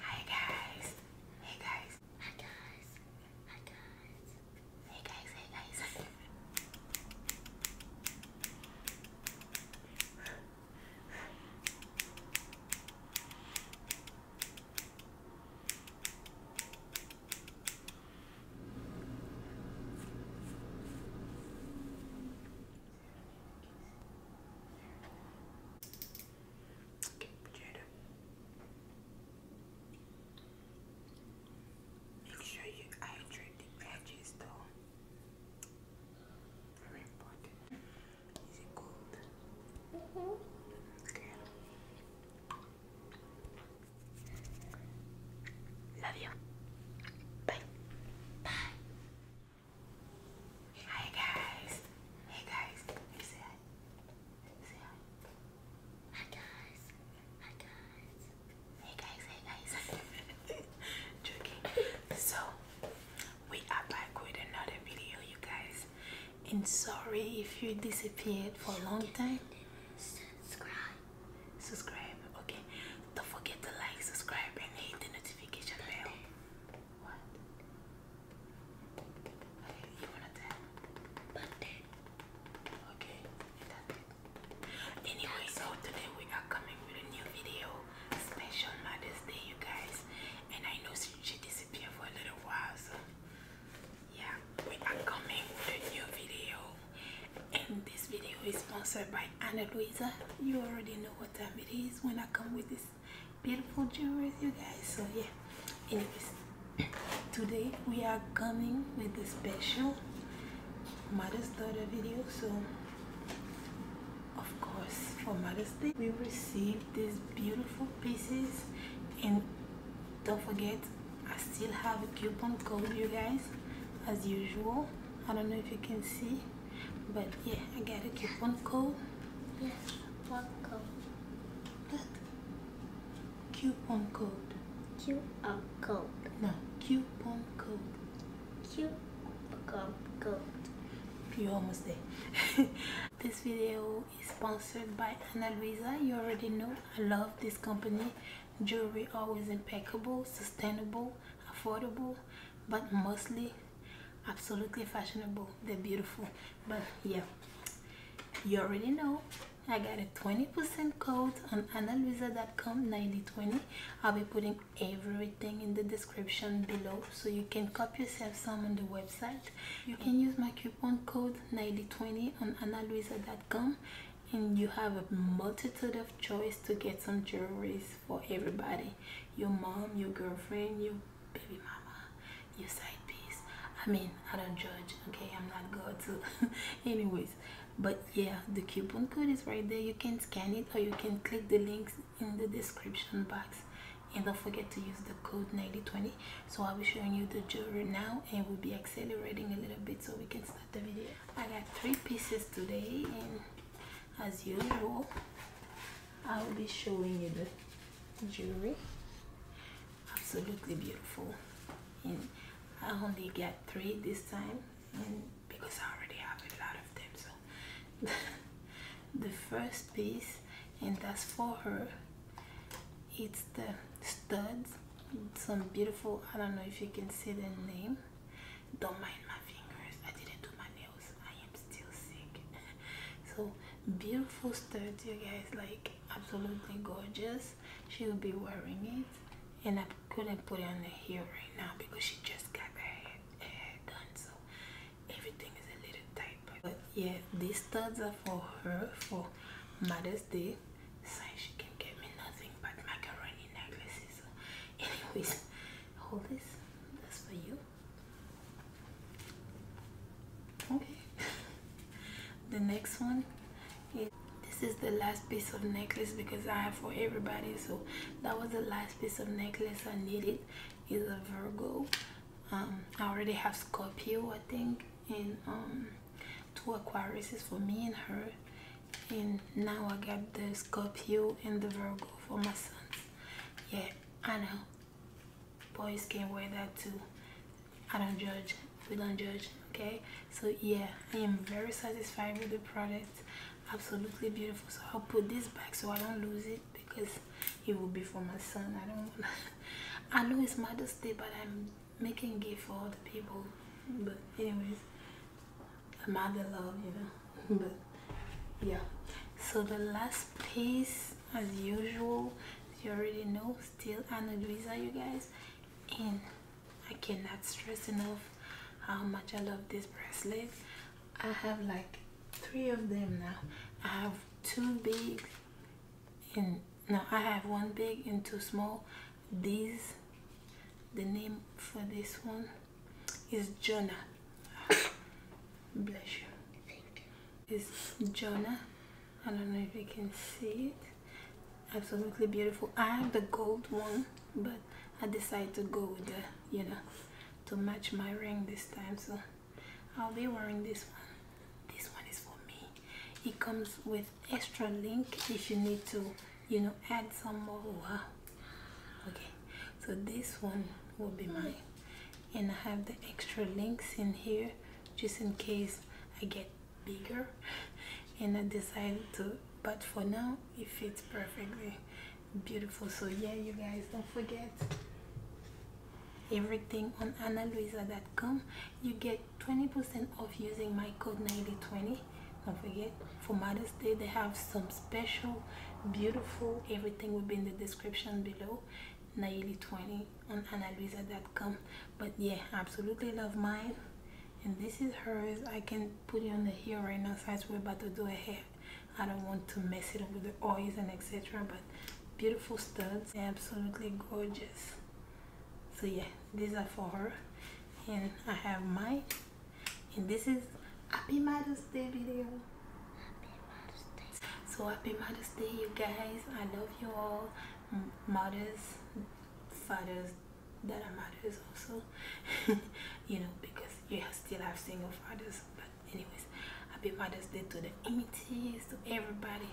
Hi guys. Hey guys. Hi guys. Hi guys. Hey guys, hey guys. Okay, potato. Make sure you hydrate the edges though. Very important. Is it cold? -hmm. Okay. Love you. Bye. Bye. Hi guys. Hey guys. hi? hi. guys. Hi guys. Hey guys. Hey guys. So we are back with another video, you guys. And sorry if you disappeared for a long time. Subscribe subscribe okay don't forget to like subscribe and hit the notification bell what you wanna tell birthday okay anyway so today we are coming with a new video special mother's day you guys and i know she disappeared for a little while so yeah we are coming with a new video and this video is sponsored by Anna Luisa you already know what time it is when I come with this beautiful jewelry you guys so yeah anyways today we are coming with a special mother's daughter video so of course for mother's day we received these beautiful pieces and don't forget i still have a coupon code you guys as usual i don't know if you can see but yeah i got a coupon code yes what code what coupon code coupon code no coupon code coupon code you almost there this video is sponsored by Ana Luisa you already know I love this company Jewelry always impeccable, sustainable, affordable, but mostly absolutely fashionable. They're beautiful. But yeah, you already know I got a 20% code on analuisa.com 9020. I'll be putting everything in the description below so you can cop yourself some on the website. You can use my coupon code 9020 on analuisa.com and you have a multitude of choice to get some jewelries for everybody your mom your girlfriend your baby mama your side piece i mean i don't judge okay i'm not god so anyways but yeah the coupon code is right there you can scan it or you can click the links in the description box and don't forget to use the code 9020 so i'll be showing you the jewelry now and we'll be accelerating a little bit so we can start the video I got three pieces today and as usual I will be showing you the jewelry absolutely beautiful and I only get three this time because I already have a lot of them the first piece and that's for her it's the studs some beautiful i don't know if you can see the name don't mind my fingers i didn't do my nails i am still sick so beautiful studs you guys like absolutely gorgeous she will be wearing it and i couldn't put it on her hair right now because she just got her hair done so everything is a little tight but yeah these studs are for her for mother's day Say she can get me nothing but macaroni necklaces. Anyways, hold this. That's for you. Okay. the next one is this is the last piece of necklace because I have for everybody. So that was the last piece of necklace I needed. Is a Virgo. Um, I already have Scorpio, I think, and um, two Aquariuses for me and her and now I got the scorpion and the Virgo for my son. Yeah, I know. Boys can wear that too. I don't judge. We don't judge. Okay. So yeah, I am very satisfied with the product. Absolutely beautiful. So I'll put this back so I don't lose it because it will be for my son. I don't. I know it's Mother's Day, but I'm making gift for other people. But anyways, a mother love, you know. but yeah. So the last piece, as usual, you already know, still Ana Luisa, you guys. And I cannot stress enough how much I love this bracelet. I have like three of them now. I have two big and now I have one big and two small. This, the name for this one is Jonah bless you thank you it's Jonah I don't know if you can see it absolutely beautiful I have the gold one but I decided to go with the you know to match my ring this time so I'll be wearing this one this one is for me it comes with extra link if you need to you know add some more wow okay so this one will be mine and I have the extra links in here just in case I get bigger and I decide to but for now it fits perfectly beautiful so yeah you guys don't forget everything on analuisa.com you get 20% off using my code 9020 don't forget for mother's day they have some special beautiful everything will be in the description below naily 20 on analisa.com but yeah absolutely love mine and this is hers i can put it on the hair right now since we're about to do a hair i don't want to mess it up with the oils and etc but beautiful studs absolutely gorgeous so yeah these are for her and I have mine and this is happy mother's day video happy mother's day. so happy mother's day you guys I love you all mothers fathers that are mothers also you know because you still have single fathers but anyways happy mother's day to the MTS to everybody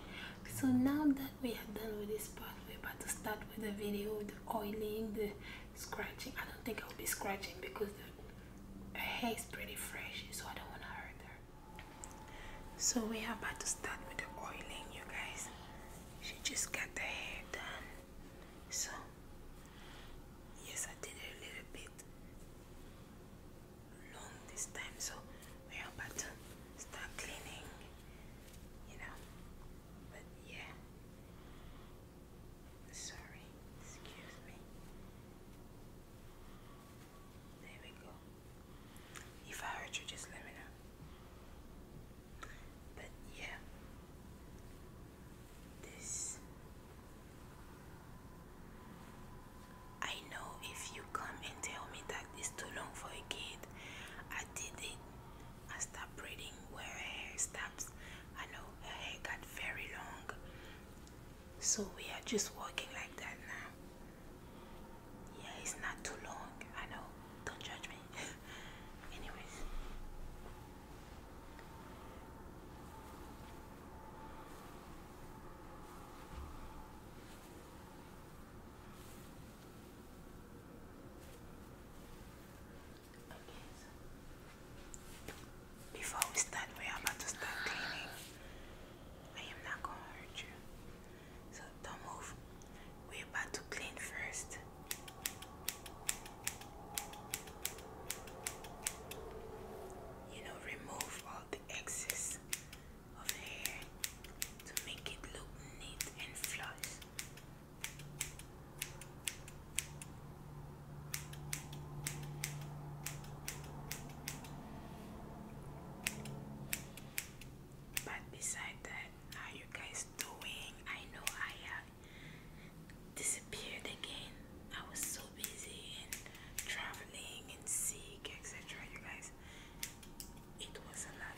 so now that we are done with this part we're about to start with the video the oiling, the scratching. I don't think I'll be scratching because the hair is pretty fresh, so I don't want to hurt her. So we are about to start with the oiling, you guys. She just got the hair done. So yes, I did a little bit long this time. So we are about to start cleaning, you know. But yeah, Sorry, excuse me. There we go. If I hurt you, just let me know. But yeah, this. I know if you come and tell me that it's too long for a kid, I did it I stopped breathing where her hair stops. I know her hair got very long. So we are just walking like that now. Yeah, it's not too long. I know. Don't judge me. Anyways before we start, we're about to start cleaning. I am not gonna hurt you. So don't move. We're about to clean first. You know, remove all the excess of hair to make it look neat and flawless. But beside that, how you guys doing? I know I have disappeared again. I was so busy and traveling and sick, etc. You guys, it was a lot.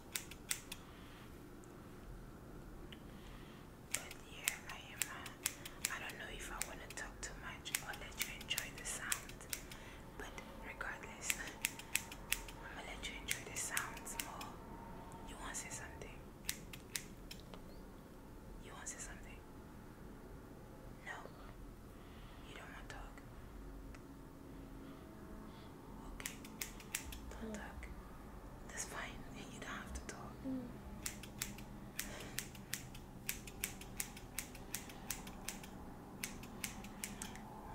yeah, I am. I don't know if I want to talk too much or let you enjoy the sound. But regardless, I'm gonna let you enjoy the sounds more. You want to say something? You want to say something? No, you don't want to talk. Okay. Don't talk. That's fine. You don't have to talk.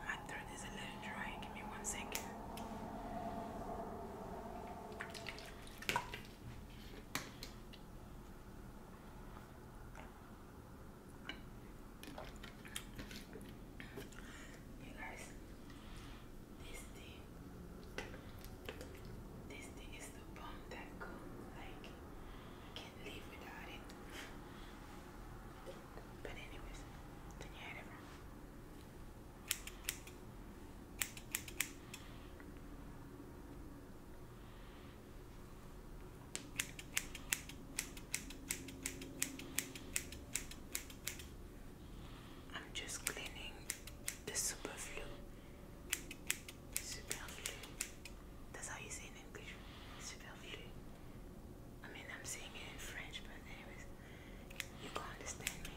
My mm. throat is a little dry. Give me one second. You guys, this thing is the bomb that comes like I can't live without it. But anyways, then you had it I'm just cleaning the superflu. Superflu. That's how you say in English. Superflu. I mean, I'm saying it in French, but anyways, you can understand me.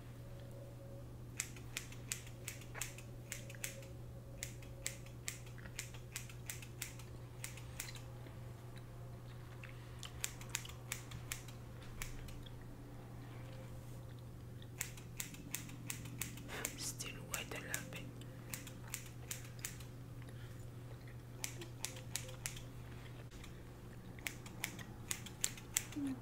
Still wet a little Mm.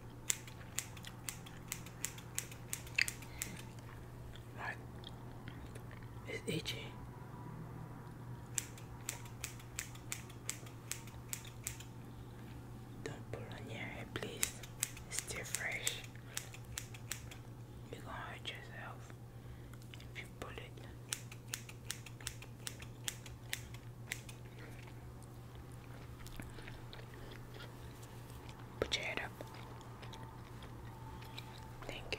it's itchy. Don't put on your head, please. It's fresh. You're gonna hurt yourself if you put it. Put your head up. Thank you.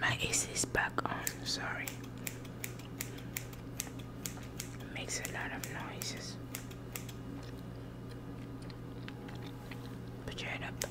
My AC is back on, sorry. It makes a lot of noises. Put your head up.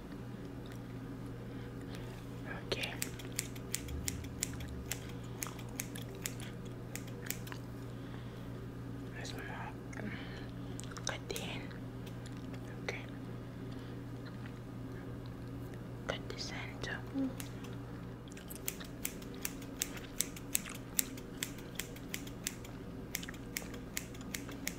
Okay. Where's my mom? Cut the Okay. Cut the center.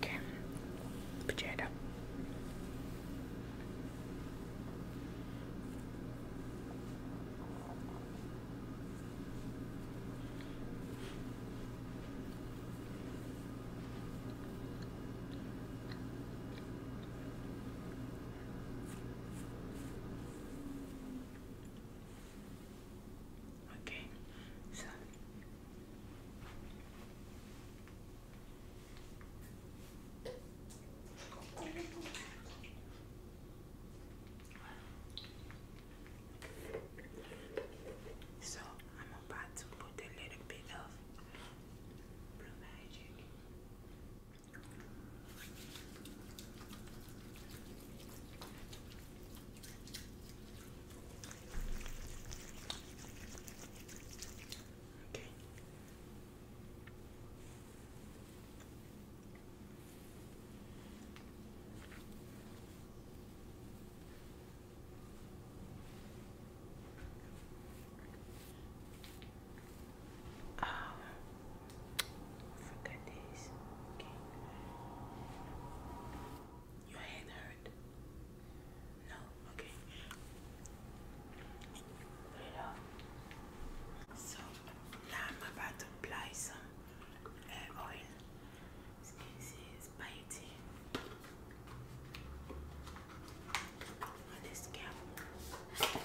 Okay, put your head up. Okay, so so I'm about to put a little bit of blue magic. Okay. Ah. Oh, forget this. Okay. Your hand hurt? No? Okay. Uh, so now I'm about to apply some uh, oil. As you biting on the scalp.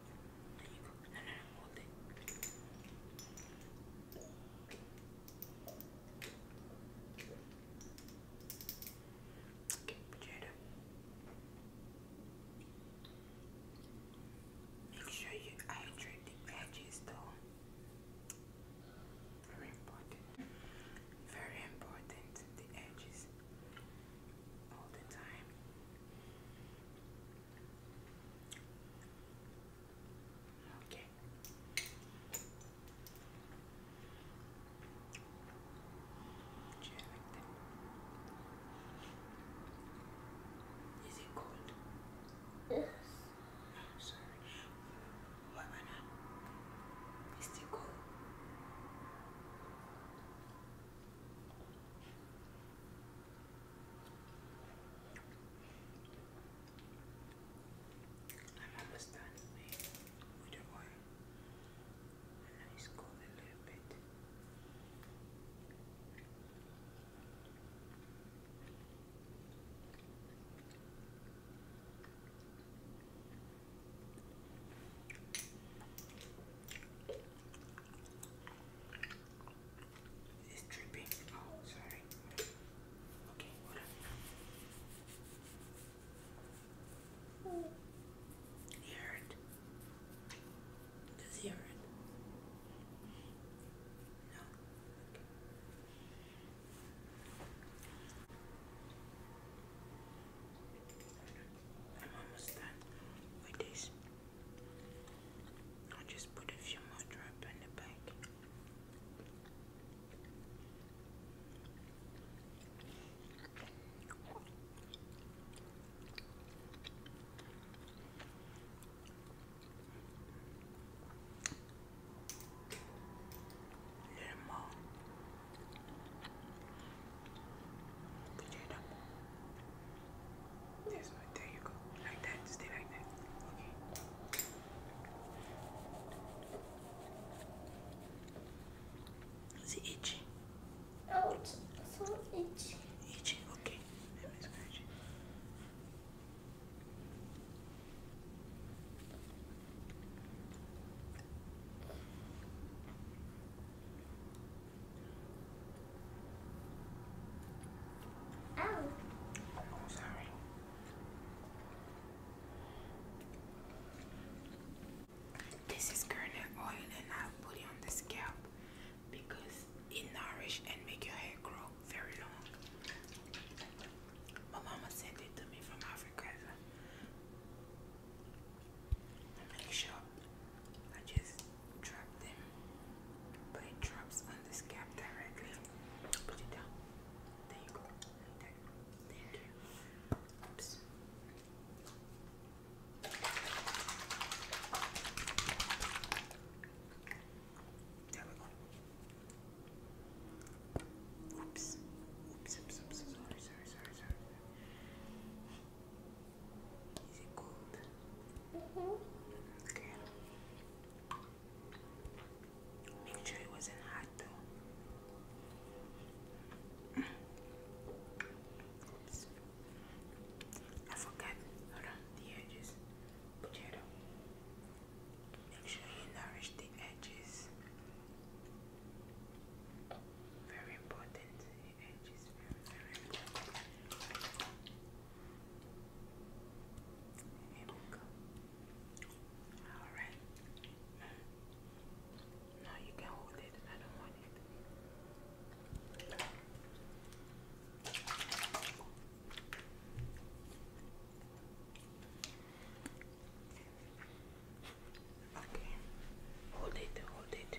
No, Okay, Make sure you hydrate the edges though. Very important. Very important, the edges all the time. Okay. Is it cold? Yes. Oh, sorry. What manner? Is it cold? I'm almost done with, with the And now it's a little bit. It's dripping. Oh, sorry. Okay, whatever. You heard? Does he hear I'm almost done with this. I'll just put a few more drops in the back. A little more. Put it up. There's there you go. Like that. Stay like that. Okay. Is it itchy? Oh, it's so itchy. Itchy, okay. Oh, sorry. This is kernel oil and i put it on the scalp because it nourishes and make your hair grow very long. My mama sent it to me from Africa. make sure I just drop them, but it drops on the scab directly. Put it down. There you go. Like Oops. There we go. Oops. Oops, oops, oops, sorry, sorry, sorry, sorry. Is it cold? Mm Make sure it wasn't hot though. Mm. I forgot. Hold on, the edges. Put your head Make sure you nourish the edges. Very important. The edges here All right. Now you can hold it. I don't want it. Okay. Hold it. Hold it.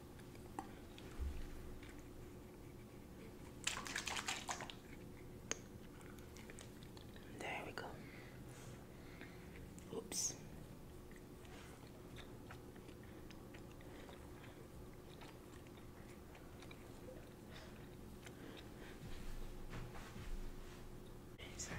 There we go. Oops. Sorry.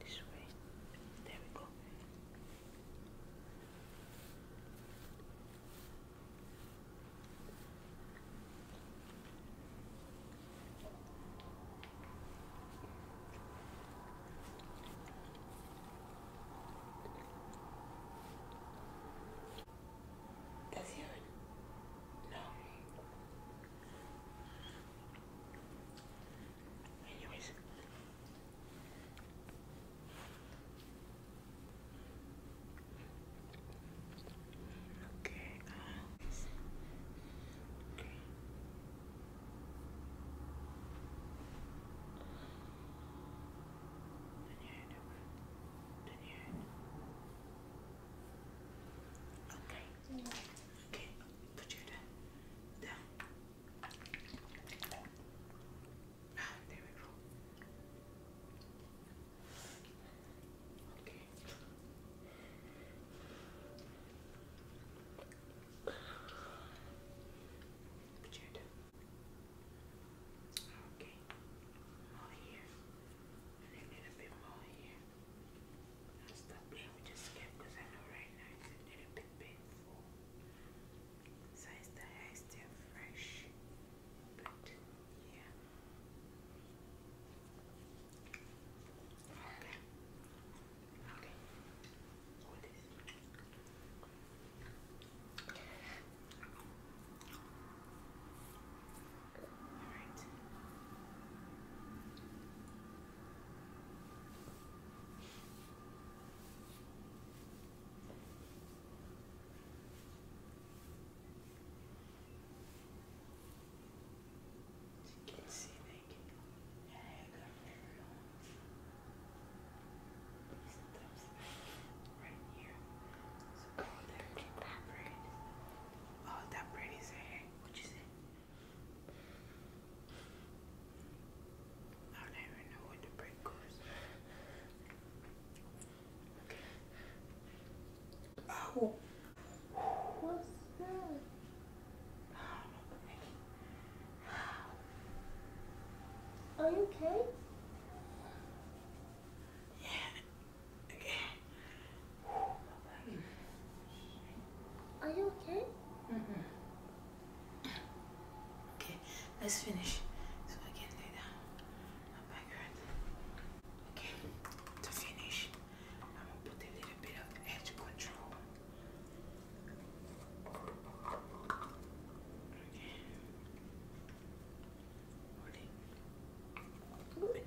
This way. There we go. Does he hurt? Anyways. Okay, guys. Uh, okay. Okay. Okay. Put you down. Down. Ah, there we go. Okay. Put your down. Okay. More here. a little bit more here. I stopped playing with the skin I know right now it's a little bit painful. So it's the hair still fresh, but yeah. Okay. Okay. Hold All right. You can see they can hang right here. So go oh, there. Look that braid. Oh, that braid is a what you say? I don't even know what the break goes. Oh. What's that? Are you okay? Yeah. Okay. Are you okay? Okay, let's finish. So I can lay down. Oh Okay, to finish, I'm gonna put a little bit of edge control. Okay. Hold it.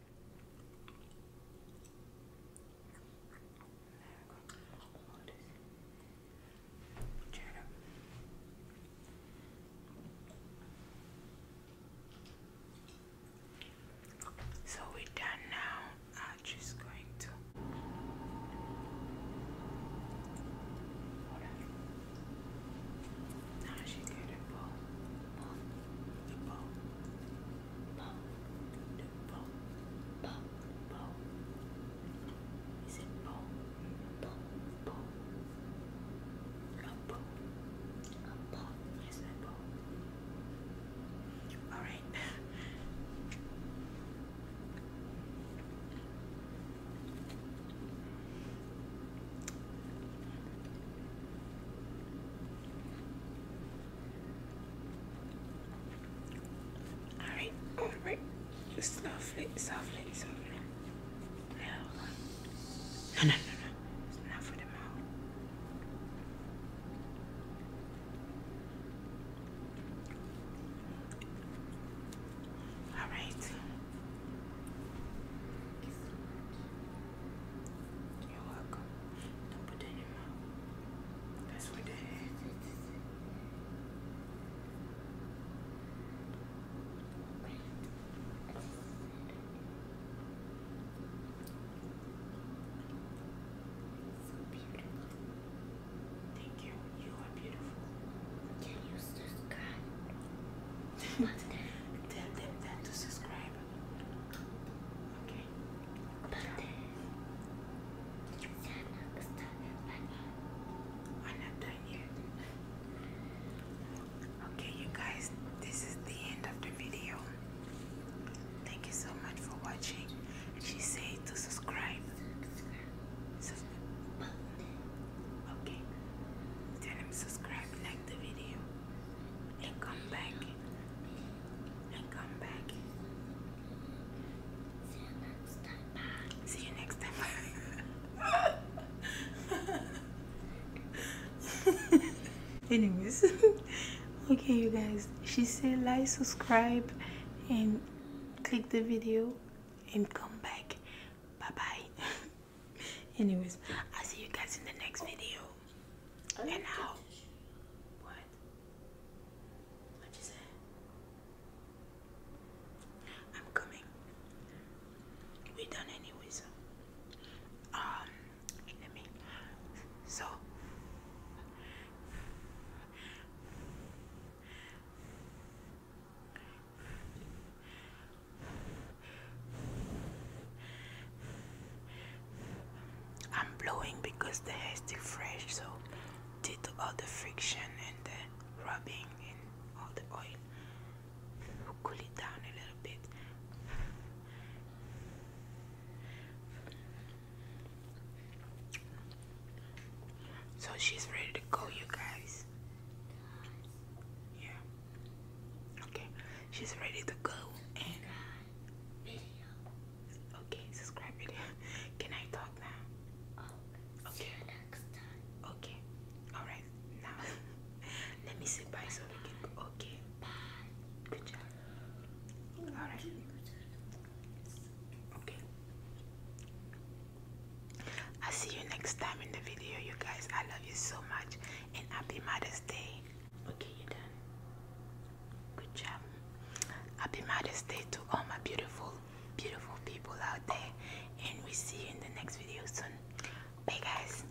So we're done now. I'm just going to. Now she get the ball, Bo, Bo, Is it Bo? Bo, Bo. A Bo. A Bo. Yes, Bo. All right. Alright, alright. Softly, softly, softly. no, no, no, no. not for the mouth. All right. You're Don't put in your mouth. That's what that is. beautiful. Thank you. You are beautiful. Can you subscribe? Tell them that to subscribe. Okay. Okay, you guys, this is the end of the video. Thank you so much for watching. she said to Subscribe. Okay. Tell him subscribe, like the video, and come back and come back. See you next time. See you next time. Anyways, okay, you guys. She said like, subscribe, and click the video, and come back. Bye bye. Anyways, I'll see you guys in the next video. And now, what you say? I'm coming. We done anyways. Um, let me. So. I'm blowing because the hair is fresh, so due to all the friction and the rubbing and all the oil, cool it down a little bit. So she's ready to go, you guys. Yeah. Okay, she's ready to go video. Okay, subscribe video. Can I talk now? Oh, okay. next time. Okay. All right. Now, let me say bye, so we can. Okay. Bye. Good job. All right. Okay. I'll see you next time in the video, you guys. I love you so much, and happy Mother's Day. Okay, you done. Good job. Happy Mother's Day to all my beautiful, beautiful people out there. And we see you in the next video soon. Bye, guys.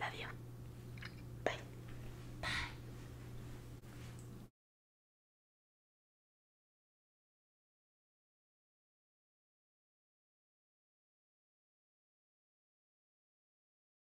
Love you. Bye. Bye.